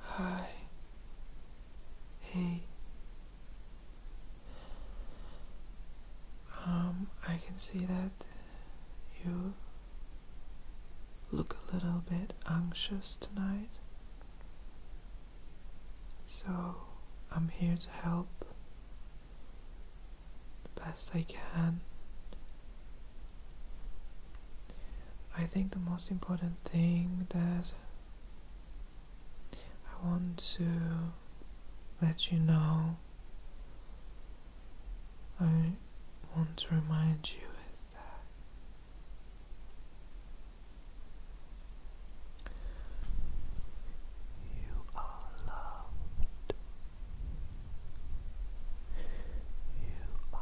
Hi. Hey. Um, I can see that you look a little bit anxious tonight. So, I'm here to help the best I can. I think the most important thing that I want to let you know, I want to remind you is that you are loved. You are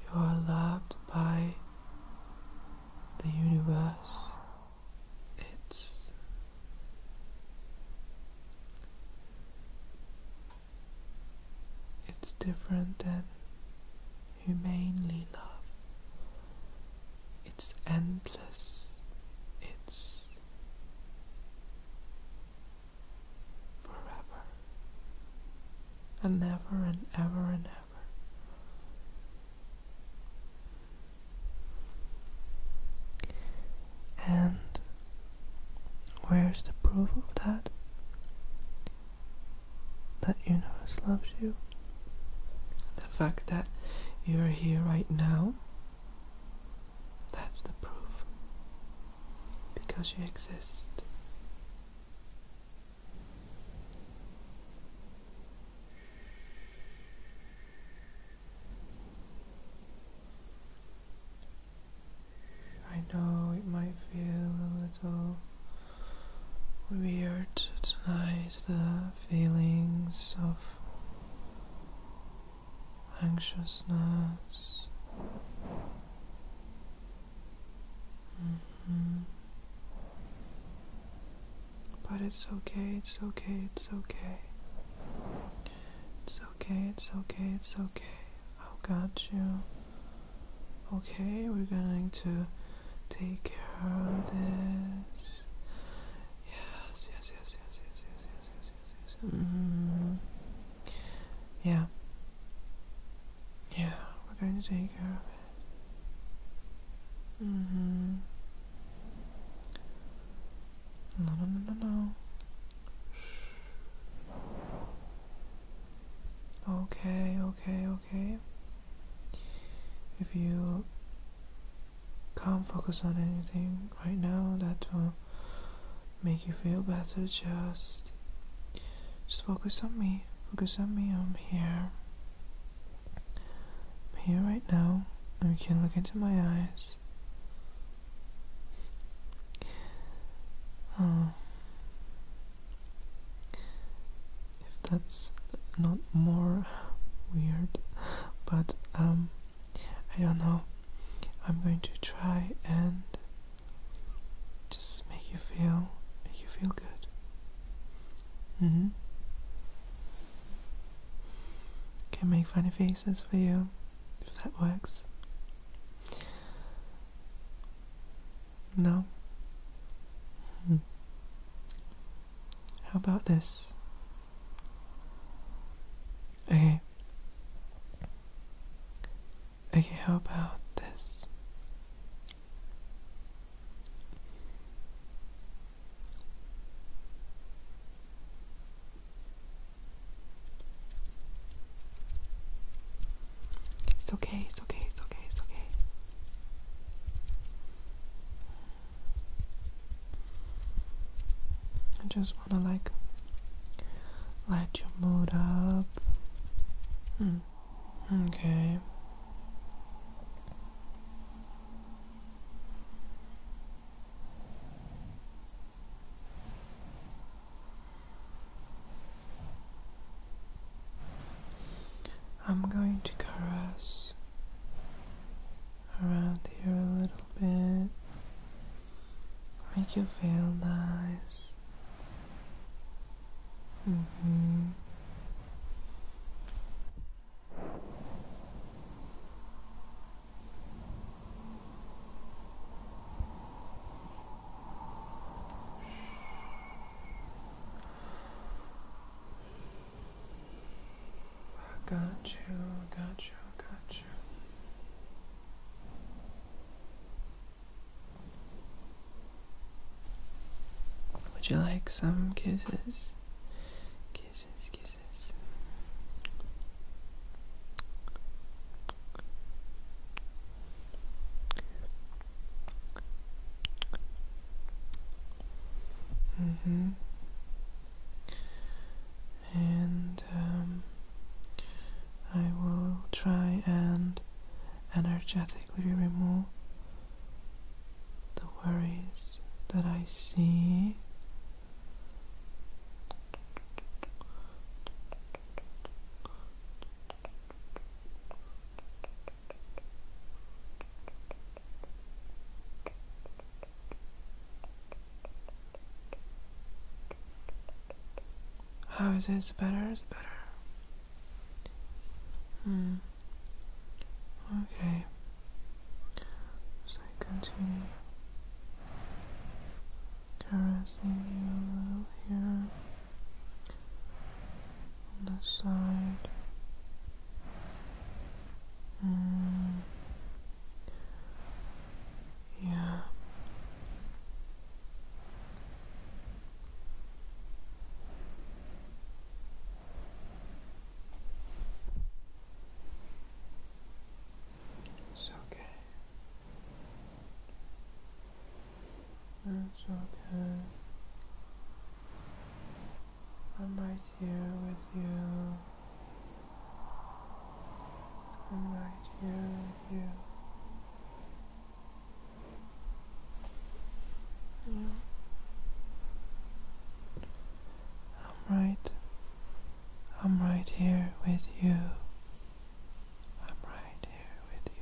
you are loved by the universe. It's it's different than humanly love. It's endless. It's forever and ever and ever and ever. And where's the proof of that? That universe loves you. The fact that you're here right now that's the proof. Because you exist. I know it might feel a little weird tonight, the feelings of anxiousness. Mm -hmm. But it's okay, it's okay, it's okay. It's okay, it's okay, it's okay. I've got you. Okay, we're going to take care of this. Yes, yes, yes, yes, yes, yes, yes, yes, yeah. Yeah, we're going to take care of it. Mm hmm. No, no, no, no, no. Okay, okay, okay. If you can't focus on anything right now that will make you feel better. Just, just focus on me. Focus on me. I'm here. here right now, you can look into my eyes. Oh. If that's not more weird, but um. I don't know. I'm going to try and just make you feel make you feel good. Mm-hmm. Can make funny faces for you if that works. No? Mm-hmm. How about this? Okay. Okay, how about this? It's okay, it's okay, it's okay, it's okay. I just to like light your mood up. Hmm. Okay. I'm going to caress around here a little bit. Make you feel nice. -hmm. I Got you, got you, got you. Would you like some kisses? Kisses, kisses. Mm-hmm and um, I will try and energetically remove the worries that I see. How is this better? Is it better. Hmm. Okay. So I continue caressing you here on the side. Mm. Yeah. It's okay. It's okay. I'm right here with you. I'm right here with you. Yeah. I'm right. I'm right here with you. I'm right here with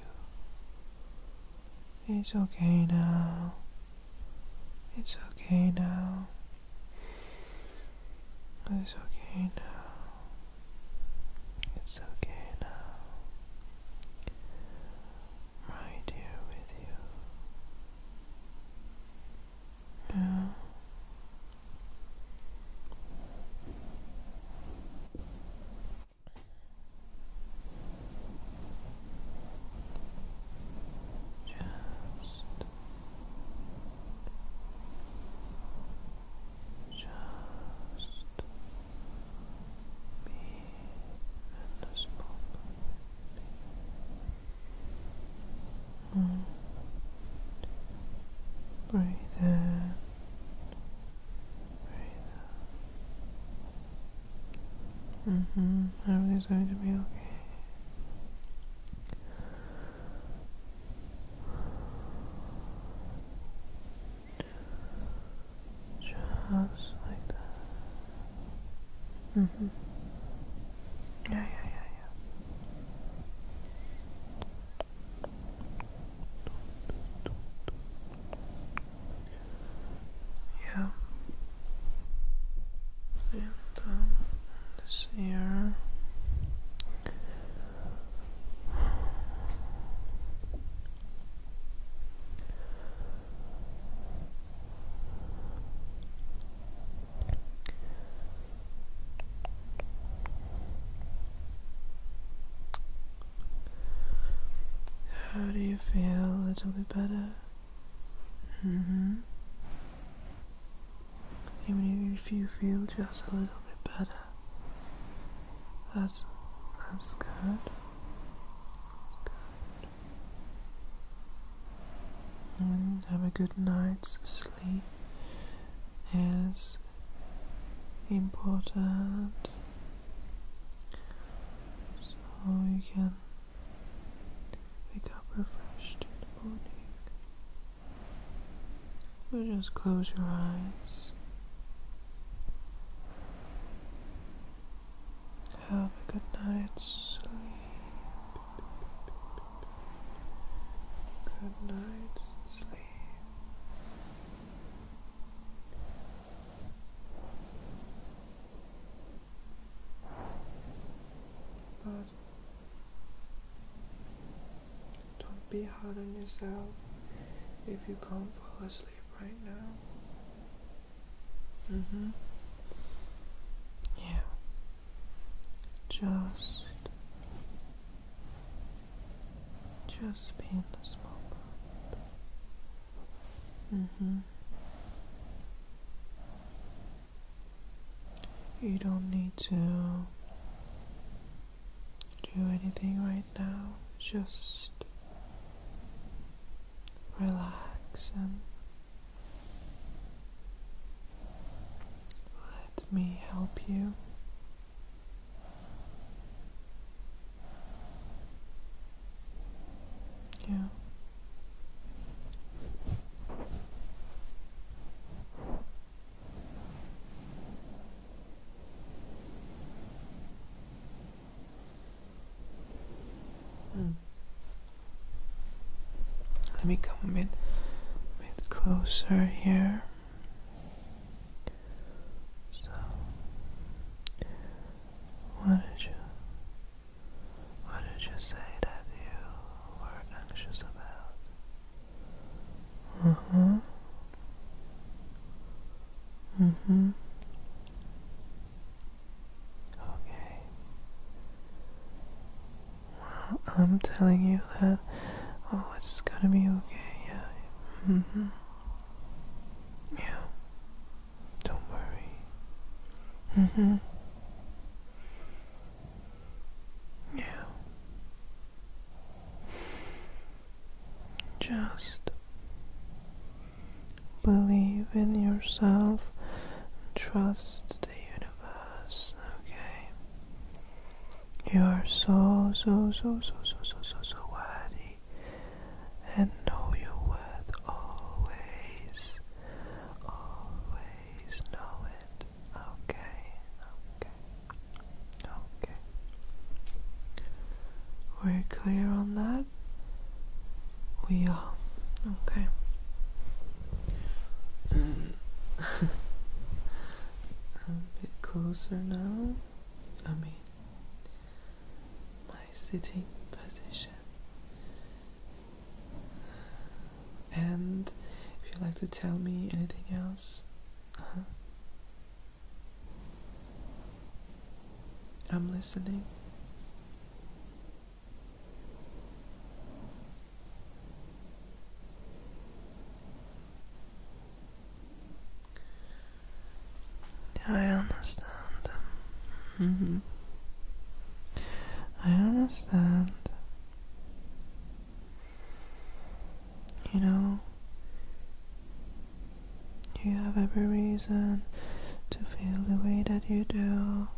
you. It's okay now. It's okay now. It's okay now. It's okay now. I'm with you. Now. Just just me and this moment. Breathe in, breathe out. hmm Everything's going to be okay. Just like that. Mm-hmm. Yeah, yeah, yeah, yeah. Yeah. And uh, this ear. How do you feel a little bit better? hmm even if you feel just a little bit better, that's, that's good. And have a good night's sleep is important so you can wake up refreshed in the morning just close your eyes. Have a good night's sleep. Good night's sleep. But don't be hard on yourself if you can't fall asleep right now. Mm hmm. Yeah. Just. Just be in this moment. Mm hmm. You don't need to do anything right now. Just relax and let me help you. Yeah. Hmm. Let me come a bit, bit closer here. So, what did you, what did you say that you were anxious about? Uh huh. Mm hmm. Okay. Well, I'm telling you that. Oh, it's gonna be okay. Yeah. Mm hmm. Yeah. Don't worry. Mm hmm. Yeah. Just believe in yourself and trust the universe, okay? You are so, so, so, so, so, so, so, so worthy and know your worth always. Always know it. Okay, okay, okay. We're clear on that? We are. Okay. Um, a bit closer now. I mean, my sitting position. And if you'd like to tell me anything else, uh-huh. I'm listening. I understand. Mm-hmm. I understand. You know, you have every reason to feel the way that you do,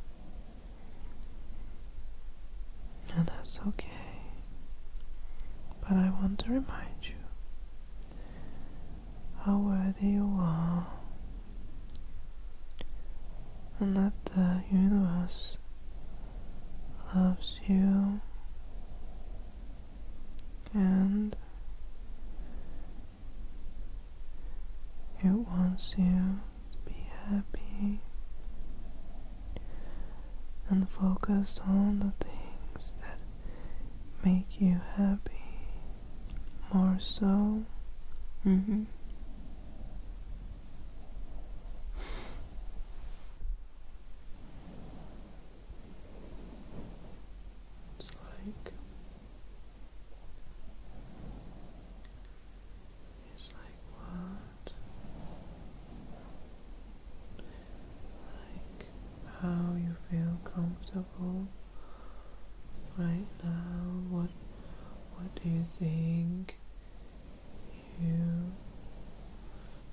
and that's okay. But I want to remind you how worthy you are, and that the universe loves you and it wants you to be happy and focused on the things that make you happy more so. Mm-hmm. It's like it's like what? Like how you feel comfortable right now? What what do you think you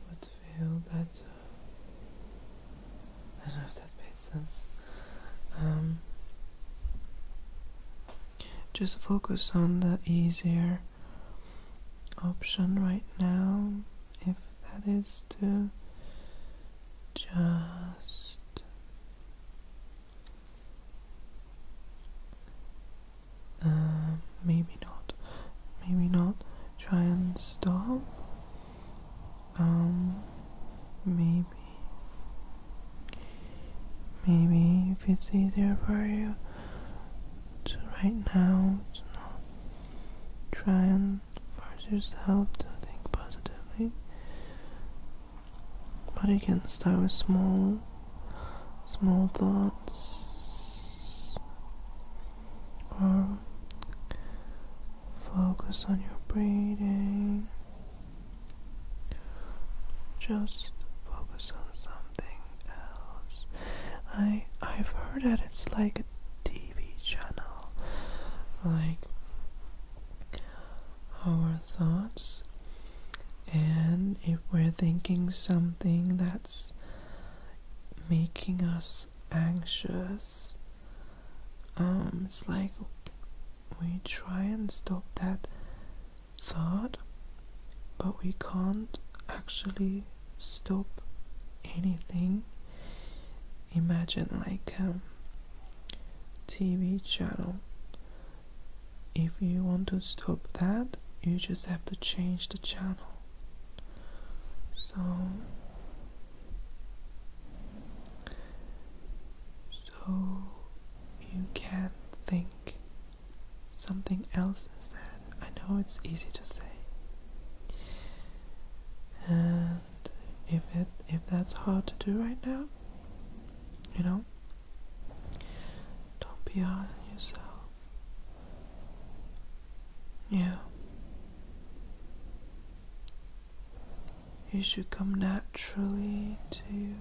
would feel better. I don't know if that made sense. Um, just focus on the easier option right now, if that is to just uh, maybe not. Maybe not. Try and stop. Um, maybe. Maybe if it's easier for you to right now try and force yourself to think positively. But you can start with small small thoughts or um, focus on your breathing. Just focus on something else. I I've heard that it's like a TV channel, like our thoughts, and if we're thinking something that's making us anxious. Um, it's like we try and stop that thought, but we can't actually stop anything. Imagine like a um, TV channel. If you want to stop that, you just have to change the channel. So, so you can think something else instead. I know it's easy to say, and if it if that's hard to do right now, you know, don't be hard on yourself. Yeah. It should come naturally to you.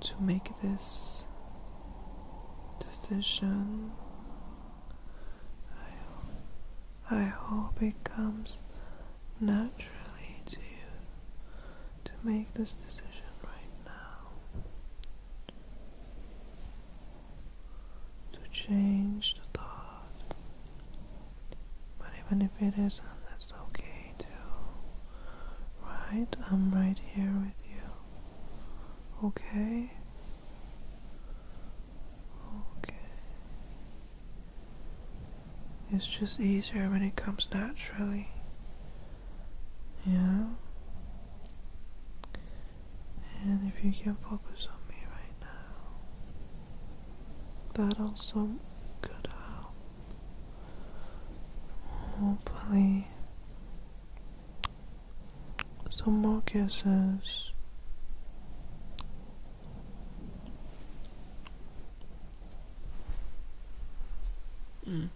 To make this decision, I, I hope it comes naturally to you to make this decision right now to change the thought. But even if it isn't, that's okay too. Right? I'm right here with you. Okay? Okay. It's just easier when it comes naturally. Yeah? And if you can focus on me right now, that also could help. Hopefully, some more kisses. Mm.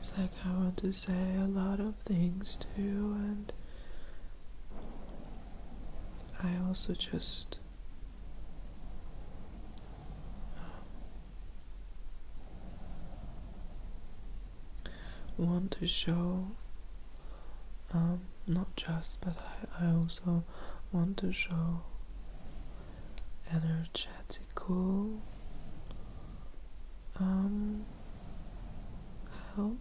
So I want to say a lot of things too, and I also just. Um, want to show um, not just but I, also want to show energetical um, help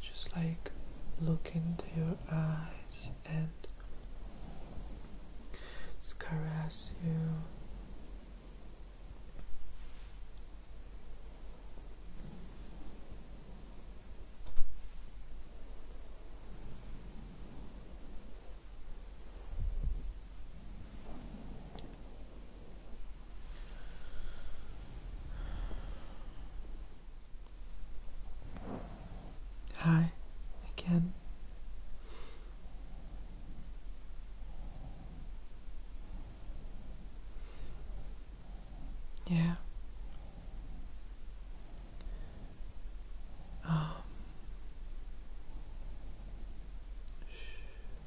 just like look into your eyes and caress you Hi again. Yeah. Um.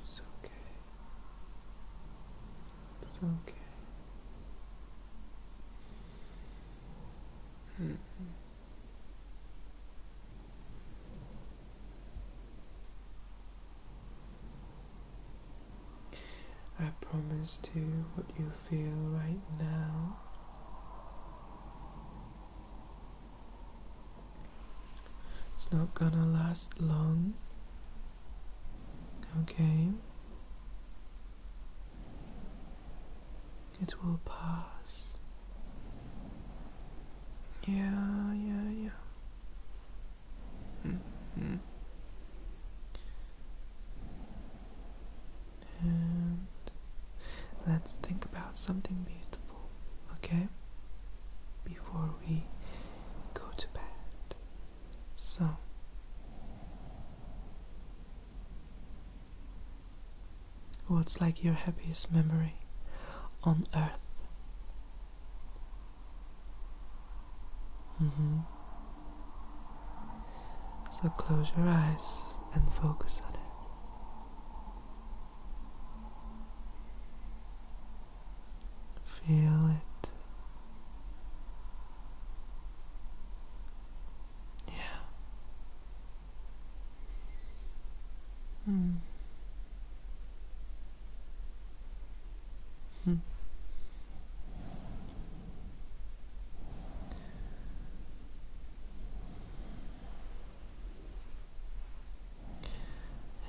It's okay. It's okay. -hmm. I promise to what you feel right now. It's not gonna last long. Okay. It will pass. Yeah, yeah, yeah. Mm -hmm and let's think about something beautiful, okay? Before we go to bed. So, what's like your happiest memory on earth? Mm -hmm. So close your eyes and focus on it. Feel it. Yeah. Hmm. Hmm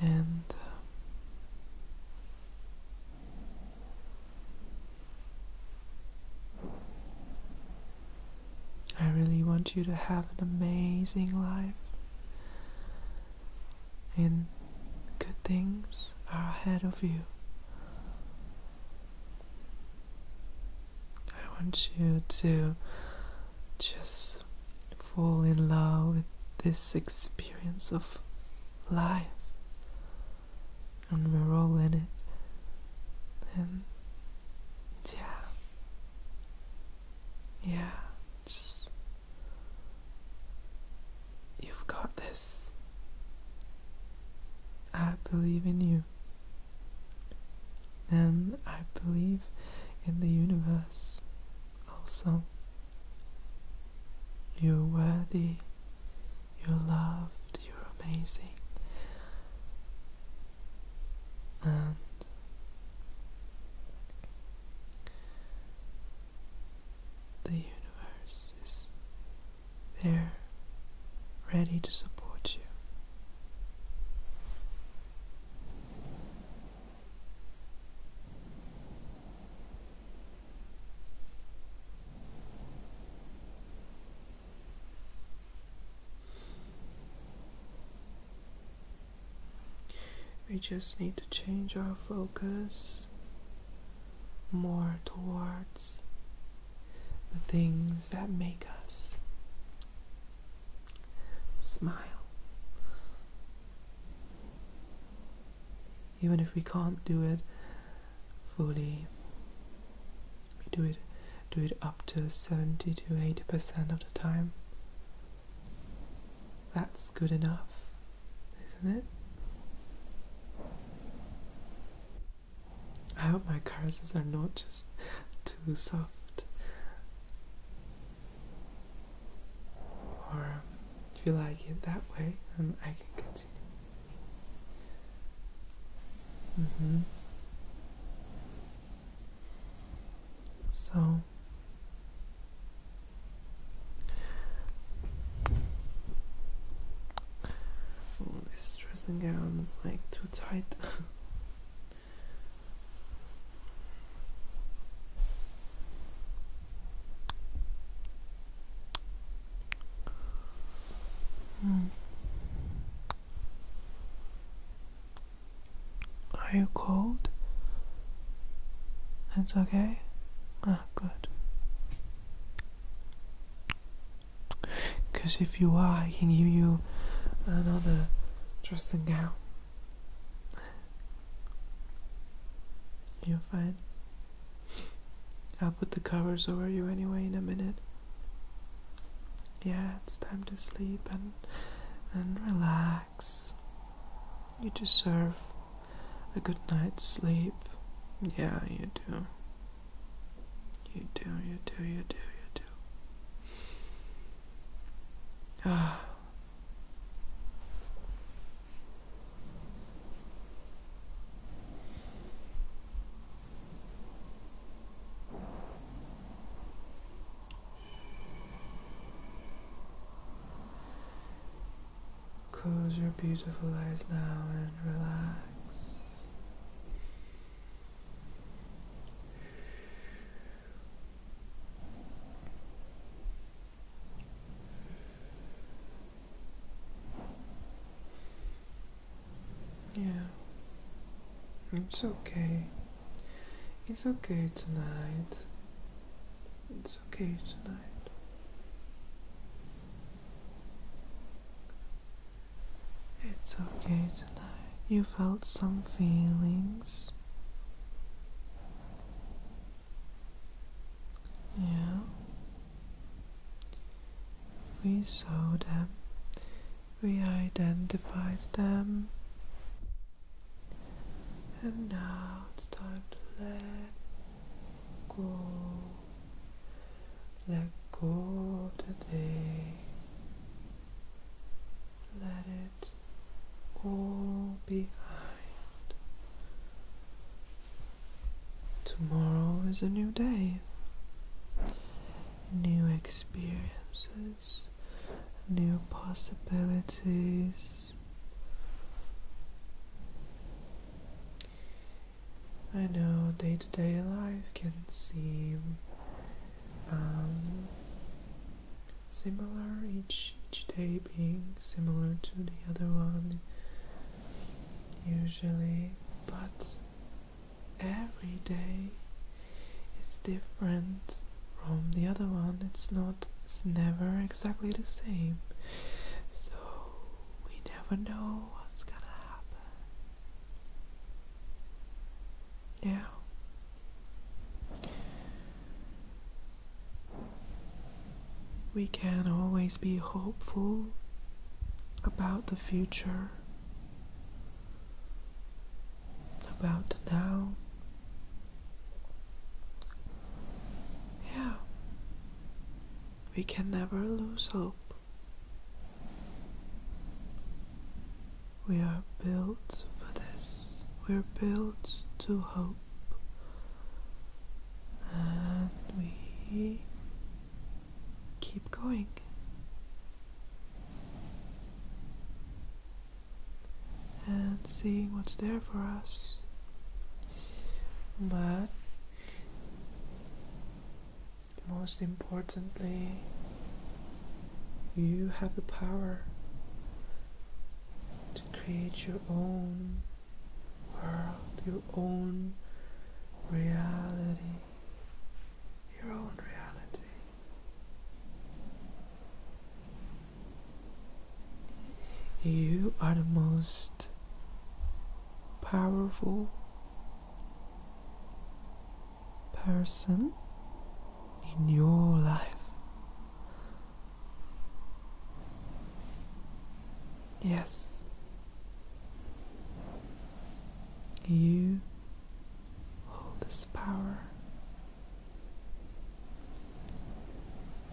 and uh, I really want you to have an amazing life, and good things are ahead of you. I want you to just fall in love with this experience of life. And we're all in it. And yeah. Yeah, just. You've got this. I believe in you. And I believe in the universe also. You're worthy, you're loved, you're amazing. And the universe is there, ready to support you. We just need to change our focus more towards the things that make us smile. Even if we can't do it fully, we do it do it up to 70 to 80% of the time. That's good enough, isn't it? I hope my curses are not just too soft. Or um, if you like it that way, I can continue. Mm -hmm. So all oh, these dressing like too tight. Are you cold? That's okay. Ah, good. Because if you are, I can give you another dressing gown. You're fine. I'll put the covers over you anyway in a minute. Yeah, it's time to sleep and and relax. You deserve a good night's sleep. Yeah, you do. You do, you do, you do, you do. Ah. Close your beautiful eyes now and relax. Yeah, it's okay. It's okay tonight. It's okay tonight. It's okay tonight. You felt some feelings. Yeah. We saw them. We identified them. And now it's time to let go. Let go today. Let it all behind. Tomorrow is a new day, new experiences, new possibilities. I know day to day life can seem um, similar each each day being similar to the other one usually but every day is different from the other one it's not it's never exactly the same so we never know what's gonna happen yeah. We can always be hopeful about the future, about now. Yeah. We can never lose hope. We are built for this. We're built to hope. And we keep going. And seeing what's there for us. But most importantly, you have the power to create your own world, your own reality, your own reality. You are the most powerful person in your life. Yes, you hold this power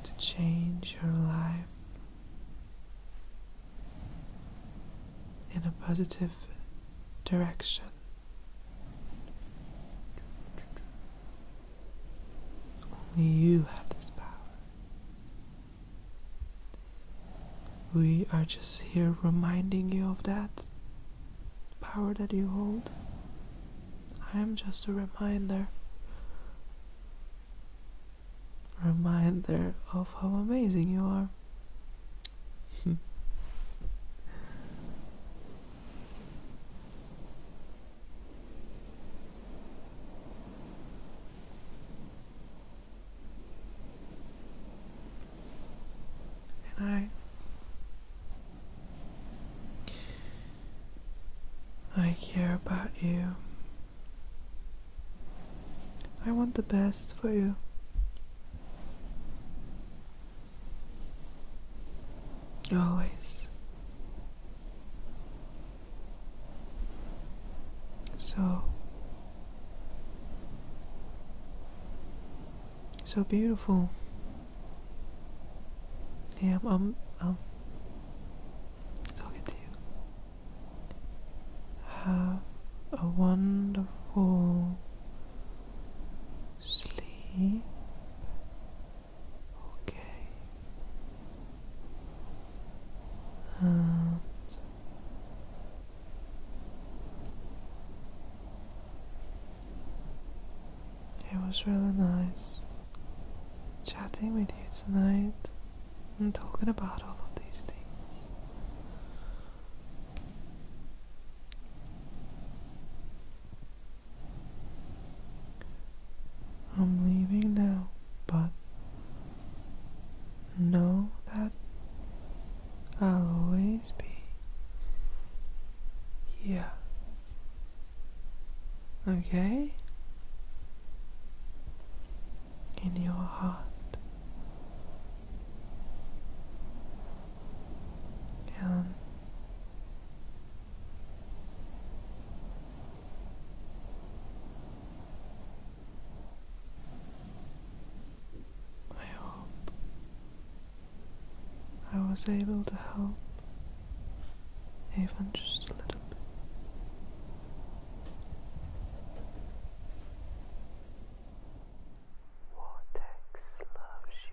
to change your life in a positive direction. Only you have this power. We are just here reminding you of that power that you hold. I am just a reminder. Reminder of how amazing you are. Hmm. and I I care about you. I want the best for you. Always. So, so beautiful. Yeah, I'm, I'm, I'm talking to you. Have a wonderful sleep okay and it was really nice chatting with you tonight and talking about all of these things. I'm leaving now, but know that I'll always be here. Okay? In your heart. Ja. I hope I was able to help, even just a little bit. Vortex loves you.